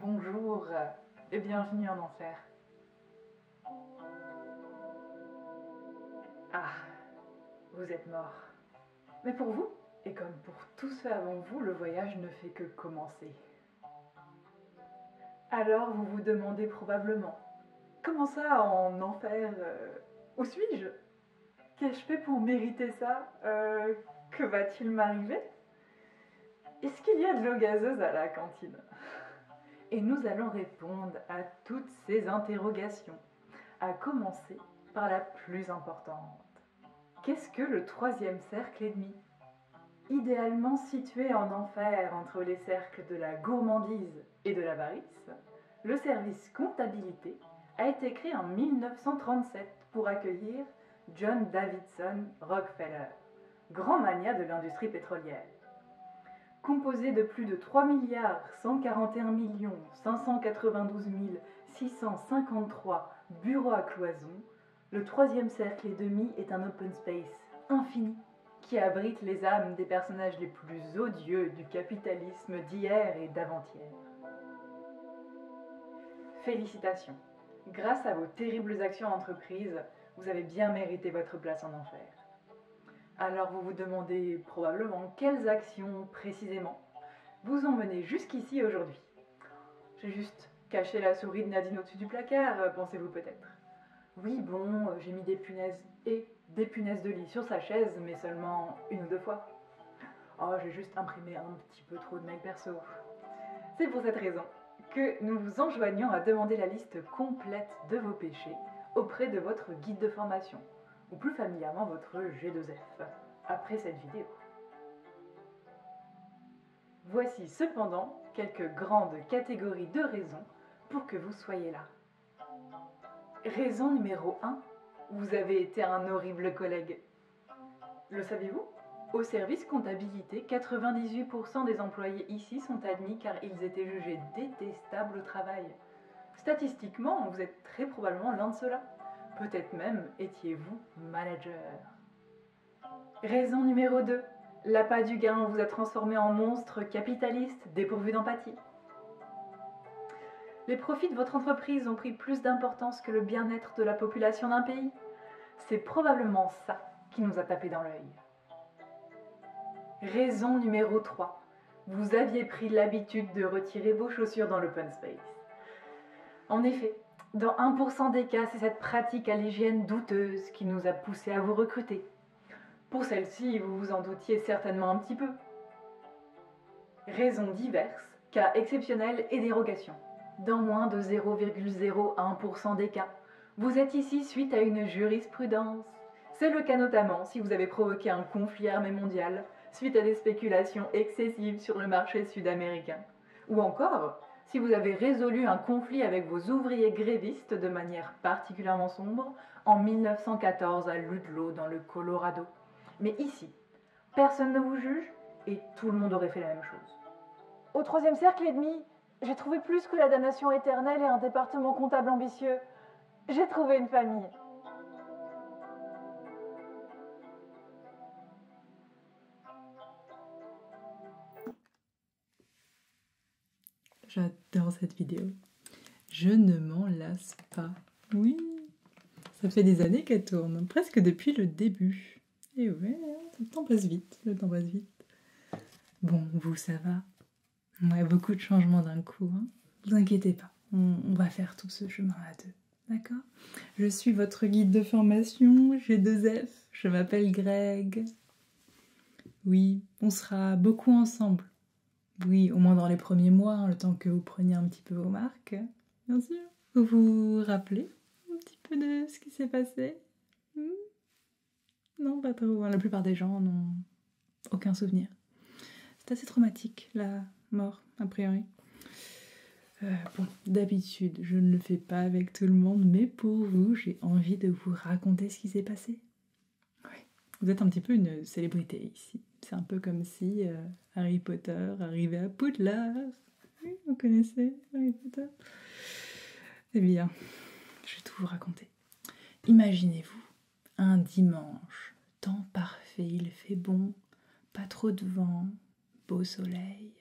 Bonjour et bienvenue en enfer. Ah, vous êtes mort. Mais pour vous, et comme pour tous ceux avant vous, le voyage ne fait que commencer. Alors vous vous demandez probablement, comment ça en enfer euh, Où suis-je Qu'ai-je fait pour mériter ça euh, Que va-t-il m'arriver Est-ce qu'il y a de l'eau gazeuse à la cantine Et nous allons répondre à toutes ces interrogations, à commencer par la plus importante. Qu'est-ce que le troisième cercle et demi idéalement situé en enfer entre les cercles de la gourmandise et de l'avarice, le service comptabilité a été créé en 1937 pour accueillir John Davidson Rockefeller, grand mania de l'industrie pétrolière. Composé de plus de 3 milliards millions bureaux à cloison, le troisième cercle et demi est un open space infini qui abrite les âmes des personnages les plus odieux du capitalisme d'hier et d'avant-hier. Félicitations. Grâce à vos terribles actions entreprises, vous avez bien mérité votre place en enfer. Alors vous vous demandez probablement quelles actions précisément vous ont mené jusqu'ici aujourd'hui. J'ai juste caché la souris de Nadine au-dessus du placard, pensez-vous peut-être. Oui, bon, euh, j'ai mis des punaises et des punaises de lit sur sa chaise, mais seulement une ou deux fois. Oh, j'ai juste imprimé un petit peu trop de mails perso. C'est pour cette raison que nous vous enjoignons à demander la liste complète de vos péchés auprès de votre guide de formation, ou plus familièrement votre G2F, après cette vidéo. Voici cependant quelques grandes catégories de raisons pour que vous soyez là. Raison numéro 1, vous avez été un horrible collègue. Le savez-vous Au service comptabilité, 98% des employés ici sont admis car ils étaient jugés détestables au travail. Statistiquement, vous êtes très probablement l'un de ceux-là. Peut-être même étiez-vous manager. Raison numéro 2. L'appât du gain vous a transformé en monstre capitaliste dépourvu d'empathie. Les profits de votre entreprise ont pris plus d'importance que le bien-être de la population d'un pays. C'est probablement ça qui nous a tapé dans l'œil. Raison numéro 3. Vous aviez pris l'habitude de retirer vos chaussures dans l'open space. En effet, dans 1% des cas, c'est cette pratique à l'hygiène douteuse qui nous a poussé à vous recruter, pour celle-ci, vous vous en doutiez certainement un petit peu. Raisons diverses, cas exceptionnels et dérogations. Dans moins de 0,01% des cas, vous êtes ici suite à une jurisprudence. C'est le cas notamment si vous avez provoqué un conflit armé mondial suite à des spéculations excessives sur le marché sud-américain. Ou encore si vous avez résolu un conflit avec vos ouvriers grévistes de manière particulièrement sombre en 1914 à Ludlow dans le Colorado. Mais ici, personne ne vous juge et tout le monde aurait fait la même chose. Au troisième cercle et demi, j'ai trouvé plus que la damnation éternelle et un département comptable ambitieux. J'ai trouvé une famille. J'adore cette vidéo. Je ne m'en lasse pas. Oui, ça fait des années qu'elle tourne, presque depuis le début. Et ouais, le temps passe vite, le temps passe vite. Bon, vous, ça va a beaucoup de changements d'un coup. ne hein. vous inquiétez pas, on, va faire tout ce chemin à deux. D'accord Je suis votre guide de formation, j'ai deux F, je m'appelle Greg. Oui, on sera beaucoup ensemble. Oui, au moins dans les premiers mois, hein, le temps que vous preniez un petit peu vos marques, bien sûr. Vous vous rappelez un petit peu de ce qui s'est passé hmm Non, pas trop. Hein. La plupart des gens n'ont aucun souvenir. C'est assez traumatique, la mort, a priori. Euh, bon, d'habitude, je ne le fais pas avec tout le monde, mais pour vous, j'ai envie de vous raconter ce qui s'est passé. Vous êtes un petit peu une célébrité ici. C'est un peu comme si euh, Harry Potter arrivait à Poudlard. vous connaissez Harry Potter Eh bien, je vais tout vous raconter. Imaginez-vous un dimanche, temps parfait, il fait bon, pas trop de vent, beau soleil.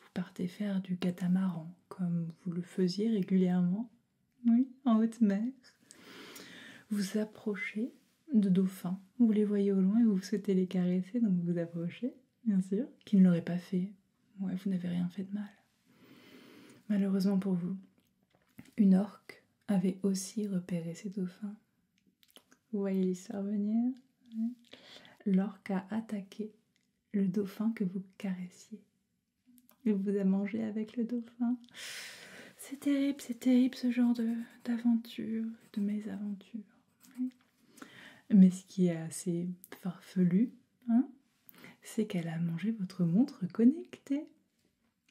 Vous partez faire du catamaran comme vous le faisiez régulièrement oui, en haute mer. Vous approchez de dauphins, vous les voyez au loin et vous souhaitez les caresser, donc vous vous approchez, bien sûr, qui ne l'aurait pas fait. Ouais, vous n'avez rien fait de mal. Malheureusement pour vous, une orque avait aussi repéré ces dauphins. Vous voyez l'histoire venir L'orque a attaqué le dauphin que vous caressiez elle vous a mangé avec le dauphin. C'est terrible, c'est terrible ce genre d'aventure, de, mésaventure. mésaventures. Mais ce qui est assez farfelu, hein, c'est qu'elle a mangé votre montre connectée,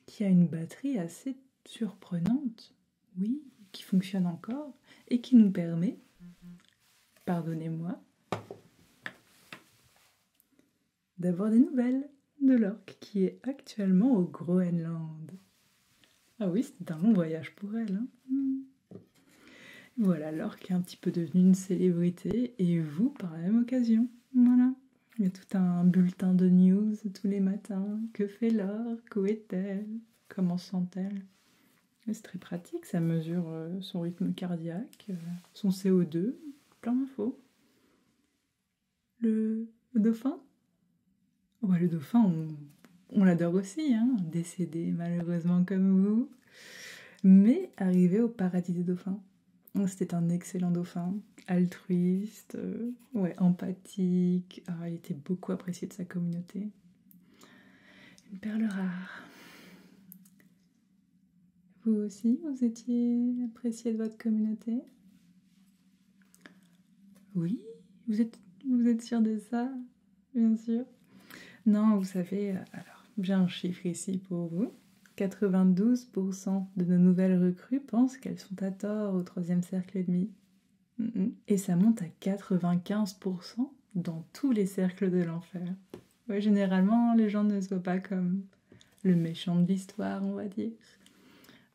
qui a une batterie assez surprenante, oui, qui fonctionne encore et qui nous permet, pardonnez-moi, d'avoir des nouvelles de l'orque qui est actuellement au Groenland. Ah oui, c'est un long voyage pour elle. Hein hmm. voilà, l'orque est un petit peu devenue une célébrité et vous par la même occasion. Voilà. Il y a tout un bulletin de news tous les matins. Que fait l'orque Où est-elle Comment sent-elle C'est très pratique, ça mesure euh, son rythme cardiaque, euh, son CO2, plein d'infos. Le, dauphin Le dauphin, on, l'adore aussi, hein, décédé malheureusement comme vous. Mais arrivé au paradis des dauphins. C'était un excellent dauphin, altruiste, euh, ouais, empathique. Ah, il était beaucoup apprécié de sa communauté. Une perle rare. Vous aussi, vous étiez apprécié de votre communauté Oui, vous êtes, vous êtes sûr de ça Bien sûr. Non, vous savez, euh, alors, j'ai un chiffre ici pour vous. 92% de nos nouvelles recrues pensent qu'elles sont à tort au troisième cercle et demi. Et ça monte à 95% dans tous les cercles de l'enfer. généralement, les gens ne se voient pas comme le méchant de l'histoire, on va dire.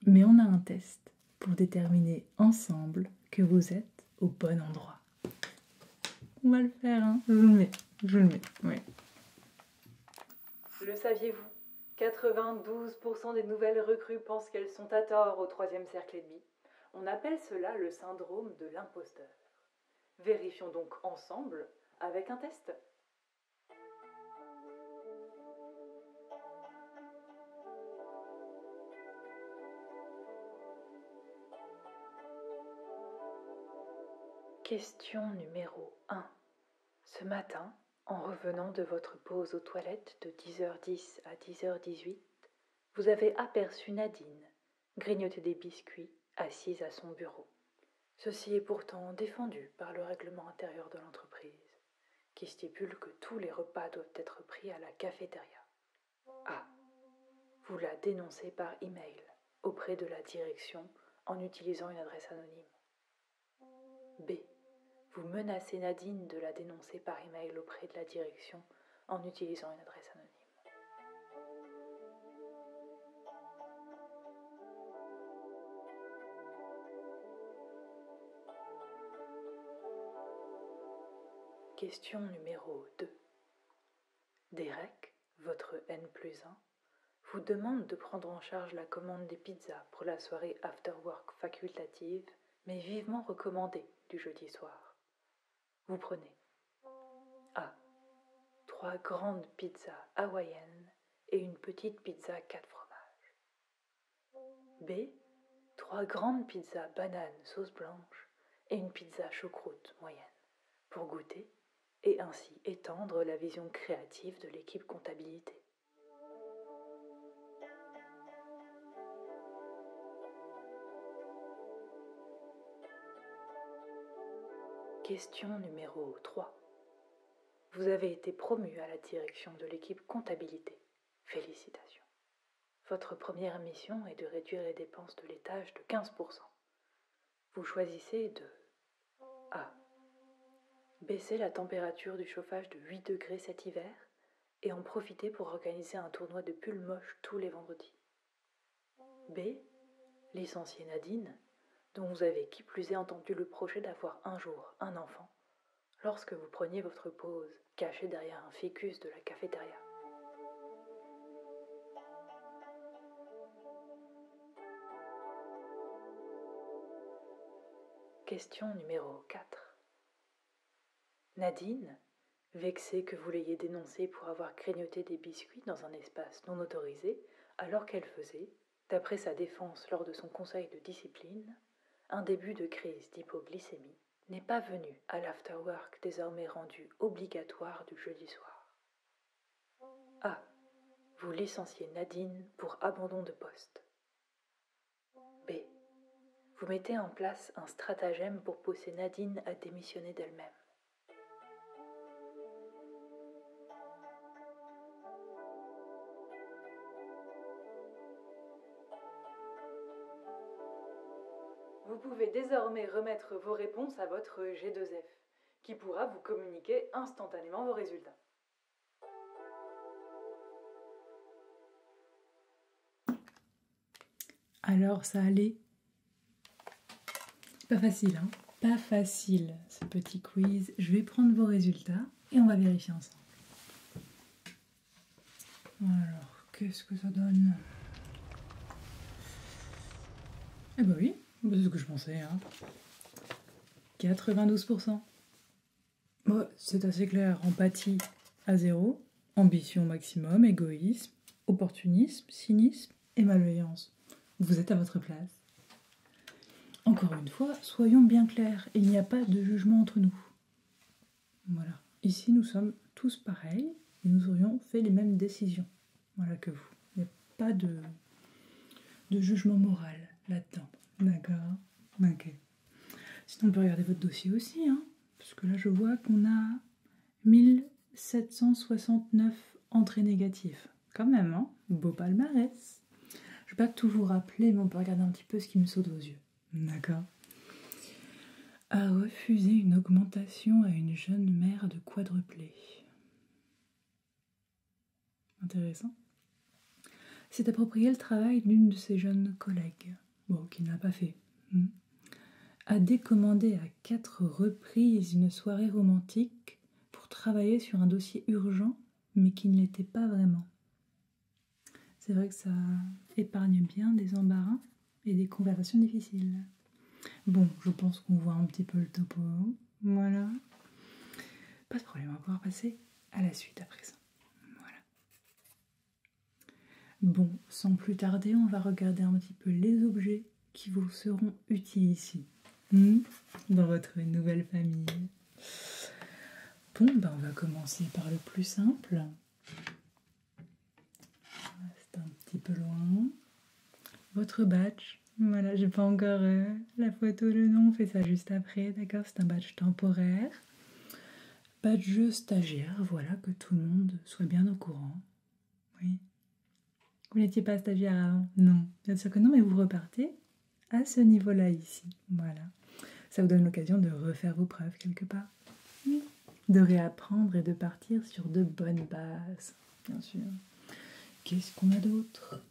Mais on a un test pour déterminer ensemble que vous êtes au bon endroit. On va le faire, hein. Je le mets, je le mets, oui. Le saviez-vous 92% des nouvelles recrues pensent qu'elles sont à tort au troisième cercle et demi. On appelle cela le syndrome de l'imposteur. Vérifions donc ensemble avec un test. Question numéro 1. Ce matin, en revenant de votre pause aux toilettes de 10h10 à 10h18, vous avez aperçu Nadine grignoter des biscuits assise à son bureau. Ceci est pourtant défendu par le règlement intérieur de l'entreprise, qui stipule que tous les repas doivent être pris à la cafétéria. A. Ah, vous la dénoncez par email auprès de la direction en utilisant une adresse anonyme. B. Vous menacez Nadine de la dénoncer par email auprès de la direction en utilisant une adresse anonyme. Question numéro 2. Derek, votre N plus 1, vous demande de prendre en charge la commande des pizzas pour la soirée after work facultative, mais vivement recommandée du jeudi soir. Vous prenez A. Trois grandes pizzas hawaïennes et une petite pizza 4 fromages. B. Trois grandes pizzas bananes sauce blanche et une pizza choucroute moyenne pour goûter et ainsi étendre la vision créative de l'équipe comptabilité. Question numéro 3. Vous avez été promu à la direction de l'équipe comptabilité. Félicitations. Votre première mission est de réduire les dépenses de l'étage de 15%. Vous choisissez de A. Baisser la température du chauffage de 8 degrés cet hiver et en profiter pour organiser un tournoi de pull moche tous les vendredis. B. Licencier Nadine dont vous avez qui plus est entendu le projet d'avoir un jour un enfant, lorsque vous preniez votre pause, cachée derrière un ficus de la cafétéria. Question numéro 4. Nadine, vexée que vous l'ayez dénoncée pour avoir craignoté des biscuits dans un espace non autorisé alors qu'elle faisait, d'après sa défense lors de son conseil de discipline, un début de crise d'hypoglycémie n'est pas venu à l'afterwork désormais rendu obligatoire du jeudi soir. A. Ah, vous licenciez Nadine pour abandon de poste. B. Vous mettez en place un stratagème pour pousser Nadine à démissionner d'elle-même. Vous pouvez désormais remettre vos réponses à votre G2F, qui pourra vous communiquer instantanément vos résultats. Alors ça allait pas facile, hein Pas facile ce petit quiz. Je vais prendre vos résultats et on va vérifier ensemble. Alors, qu'est-ce que ça donne Eh ben oui, c'est ce que je pensais, 92%. Hein. c'est assez clair, empathie à zéro, ambition maximum, égoïsme, opportunisme, cynisme et malveillance. Vous êtes à votre place. Encore une fois, soyons bien clairs, il n'y a pas de jugement entre nous. Voilà. Ici, nous sommes tous pareils et nous aurions fait les mêmes décisions. Voilà que vous. Il n'y a pas de, jugement moral là-dedans. D'accord Ok. Sinon, on peut regarder votre dossier aussi, puisque hein, parce que là, je vois qu'on a 1769 entrées négatives. Quand même, hein. Beau palmarès. Je ne vais pas tout vous rappeler, mais on peut regarder un petit peu ce qui me saute aux yeux. D'accord A refusé une augmentation à une jeune mère de quadruplé. Intéressant. S'est approprié le travail d'une de ses jeunes collègues. Bon, qui n'a pas fait. Hmm. a décommandé à quatre reprises une soirée romantique pour travailler sur un dossier urgent mais qui ne l'était pas vraiment. C'est vrai que ça épargne bien des embarras et des conversations difficiles. Bon, je pense qu'on voit un petit peu le topo. Voilà. Pas de problème, on va pouvoir passer à la suite à présent. Voilà. Bon, sans plus tarder, on va regarder un petit peu les objets qui vous seront utiles ici. Hmm, dans votre nouvelle famille. Bon, bah on va commencer par le plus simple. C'est un petit peu loin. Votre badge. Voilà, j'ai pas encore euh, la photo, le nom, on fait ça juste après, d'accord C'est un badge temporaire. Badge stagiaire, voilà, que tout le monde soit bien au courant. Oui. Vous n'étiez pas stagiaire avant Non, bien sûr que non, mais vous repartez à ce niveau-là ici. Voilà. Ça vous donne l'occasion de refaire vos preuves quelque part. De réapprendre et de partir sur de bonnes bases, bien sûr. Qu'est-ce qu'on a d'autre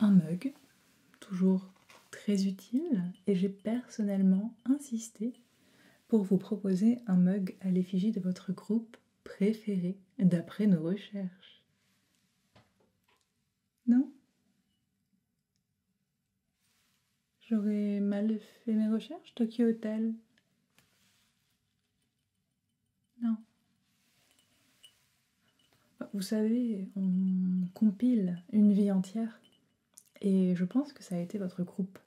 Un mug, toujours très utile, et j'ai personnellement insisté pour vous proposer un mug à l'effigie de votre groupe préféré d'après nos recherches. Non J'aurais mal fait mes recherches, Tokyo Hotel. Non. Bah, vous savez, on compile une vie entière. Et je pense que ça a été votre groupe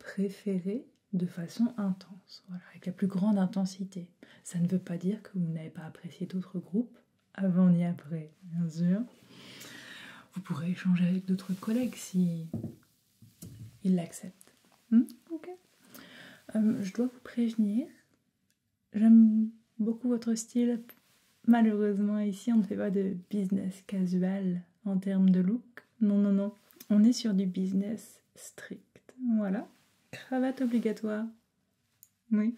préféré de façon intense, voilà, avec la plus grande intensité. Ça ne veut pas dire que vous n'avez pas apprécié d'autres groupes avant ni après, bien sûr. Vous pourrez échanger avec d'autres collègues si ils l'acceptent. Hmm? ok. Euh, je dois vous prévenir. J'aime beaucoup votre style. Malheureusement, ici, on ne fait pas de business casual en termes de look. Non, non, non. On est sur du business strict. Voilà. Cravate obligatoire. Oui,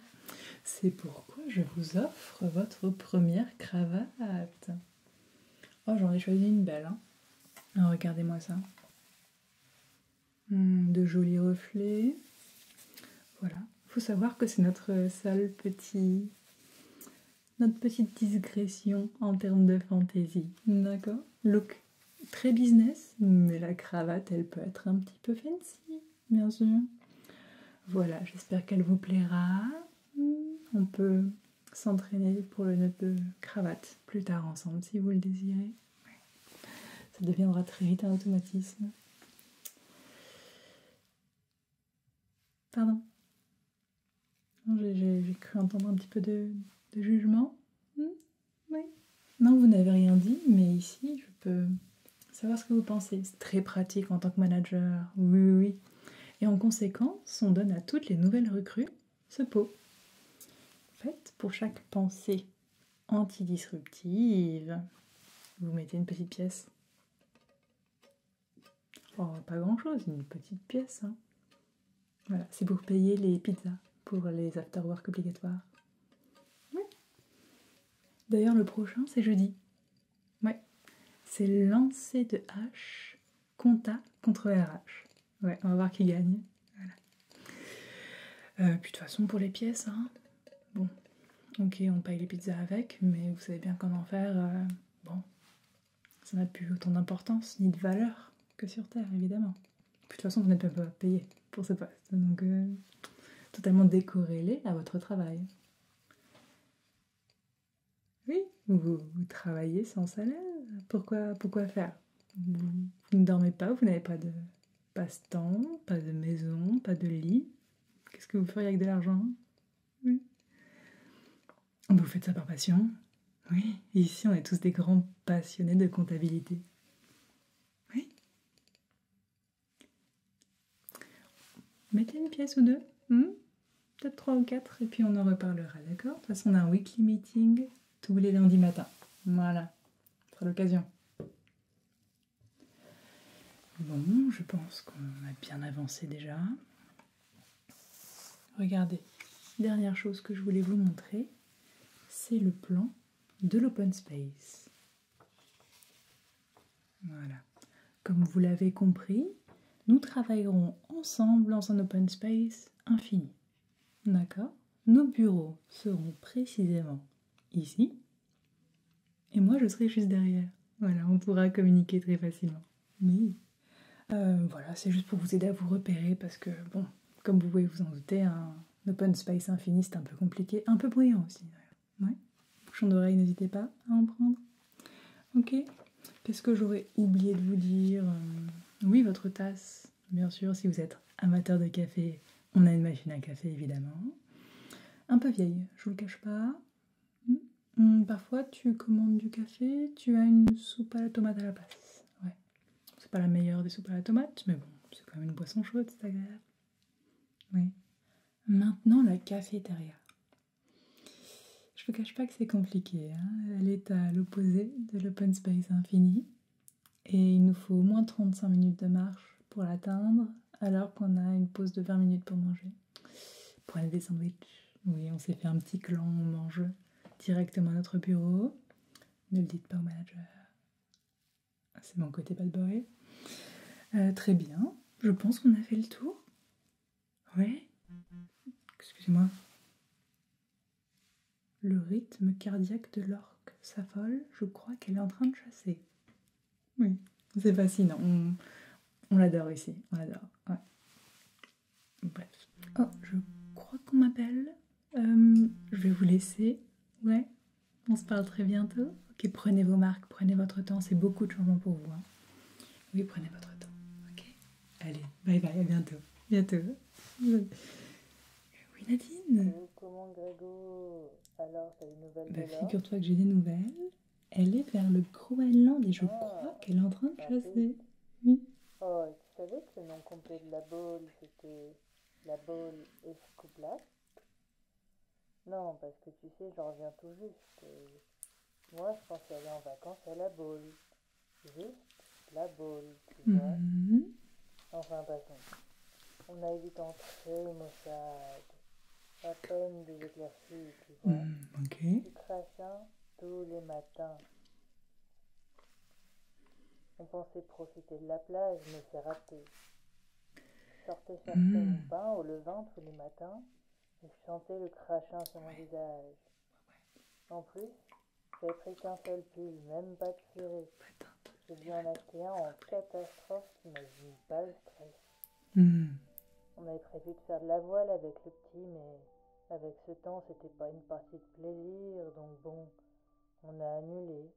c'est pourquoi je vous offre votre première cravate. Oh, j'en ai choisi une belle. Hein. Ah, regardez-moi ça. Hmm, de jolis reflets. Voilà. Faut savoir que c'est notre seul petit notre petite discrétion en termes de fantaisie. D'accord look très business, mais la cravate, elle peut être un petit peu fancy, bien sûr. Voilà, j'espère qu'elle vous plaira. On peut s'entraîner pour le note de cravate plus tard ensemble si vous le désirez. Ça deviendra très vite un automatisme. Pardon. J'ai cru entendre un petit peu de jugement. Hmm. Oui. Non, vous n'avez rien dit, mais ici, je peux savoir ce que vous pensez. C'est très pratique en tant que manager. Oui, oui, oui. Et en conséquence, on donne à toutes les nouvelles recrues ce pot. En fait, pour chaque pensée antidisruptive, vous mettez une petite pièce. Oh, pas grand-chose, une petite pièce. Hein. Voilà, c'est pour payer les pizzas pour les after-work obligatoires. D'ailleurs, le prochain, c'est jeudi. Ouais. C'est lancer de H, compta contre RH. Ouais, on va voir qui gagne. Euh, puis de toute façon, pour les pièces, hein. bon, ok, on paye les pizzas avec, mais vous savez bien comment faire. Euh, bon, ça n'a plus autant d'importance ni de valeur que sur Terre, évidemment de toute façon, vous n'êtes pas payé pour ce poste, donc euh, totalement décorrélé à votre travail. Oui, vous, travaillez sans salaire. Pourquoi, pourquoi faire vous, ne dormez pas, vous n'avez pas de passe-temps, pas de maison, pas de lit. Qu'est-ce que vous feriez avec de l'argent Oui. Vous faites ça par passion Oui. Ici, on est tous des grands passionnés de comptabilité. Oui. Mettez une pièce ou deux, hmm? peut-être trois ou quatre, et puis on en reparlera, d'accord De toute façon, on a un weekly meeting tous les lundis matins. Voilà, c'est l'occasion. Bon, je pense qu'on a bien avancé déjà. Regardez, dernière chose que je voulais vous montrer, c'est le plan de l'open space. Voilà. Comme vous l'avez compris, nous travaillerons ensemble dans un open space infini. D'accord Nos bureaux seront précisément ici. Et moi, je serai juste derrière. Voilà, on pourra communiquer très facilement. Oui. Euh, voilà, c'est juste pour vous aider à vous repérer parce que, bon, comme vous pouvez vous en douter, hein, Open space infini, c'est un peu compliqué, un peu bruyant aussi. Ouais. Bouchon d'oreille, n'hésitez pas à en prendre. Ok. Qu'est-ce que j'aurais oublié de vous dire euh, Oui, votre tasse, bien sûr, si vous êtes amateur de café, on a une machine à café évidemment. Un peu vieille, je vous le cache pas. Hmm. Hmm, parfois, tu commandes du café, tu as une soupe à la tomate à la place. Ouais. C'est pas la meilleure des soupes à la tomate, mais bon, c'est quand même une boisson chaude, c'est agréable. Oui. Maintenant, la cafétéria. Je vous cache pas que c'est compliqué. Hein. Elle est à l'opposé de l'open space infini. Et il nous faut au moins 35 minutes de marche pour l'atteindre, alors qu'on a une pause de 20 minutes pour manger. Pour aller des sandwichs. Oui, on s'est fait un petit clan, on mange directement à notre bureau. Ne le dites pas au manager. Ah, c'est mon côté bad boy. Euh, très bien. Je pense qu'on a fait le tour. Ouais. Excusez-moi. Le rythme cardiaque de l'orque s'affole. Je crois qu'elle est en train de chasser. Oui, c'est fascinant. On, l'adore ici. On l'adore. Bref. Oh, je crois qu'on m'appelle. Euh, je vais vous laisser. Ouais. On se parle très bientôt. Ok, prenez vos marques, prenez votre temps. C'est beaucoup de changement pour vous. Hein. Oui, prenez votre temps. Ok Allez, bye bye, à bientôt. Bientôt. Oui, Nadine euh, Comment, Grégo Alors, t'as une nouvelle bah, là Figure-toi que j'ai des nouvelles. Elle est vers le Groenland et je ah, crois qu'elle est en train de chasser. Oui. Oh, tu savais que le nom complet de la boule, c'était la boule escoublate non, parce que tu sais, j'en reviens tout juste. moi, je pensais aller en vacances à la boule. Juste la boule, tu vois. Mhm. Enfin, passons. On a évité d'entrer, Mossad. Pas peine de l'éclairci, tu vois. Du hmm, crachin tous les matins. On pensait profiter de la plage, mais c'est raté. Sortais chercher mon pain au levain tous les matins et chantais le crachin sur mon visage. En plus, j'ai pris qu'un seul pull, même pas de purée. J'ai dû en un en catastrophe mais m'a pas le stress. Hmm. On avait prévu de faire de la voile avec le petit, mais avec ce temps, c'était pas une partie de plaisir, donc bon, on a annulé.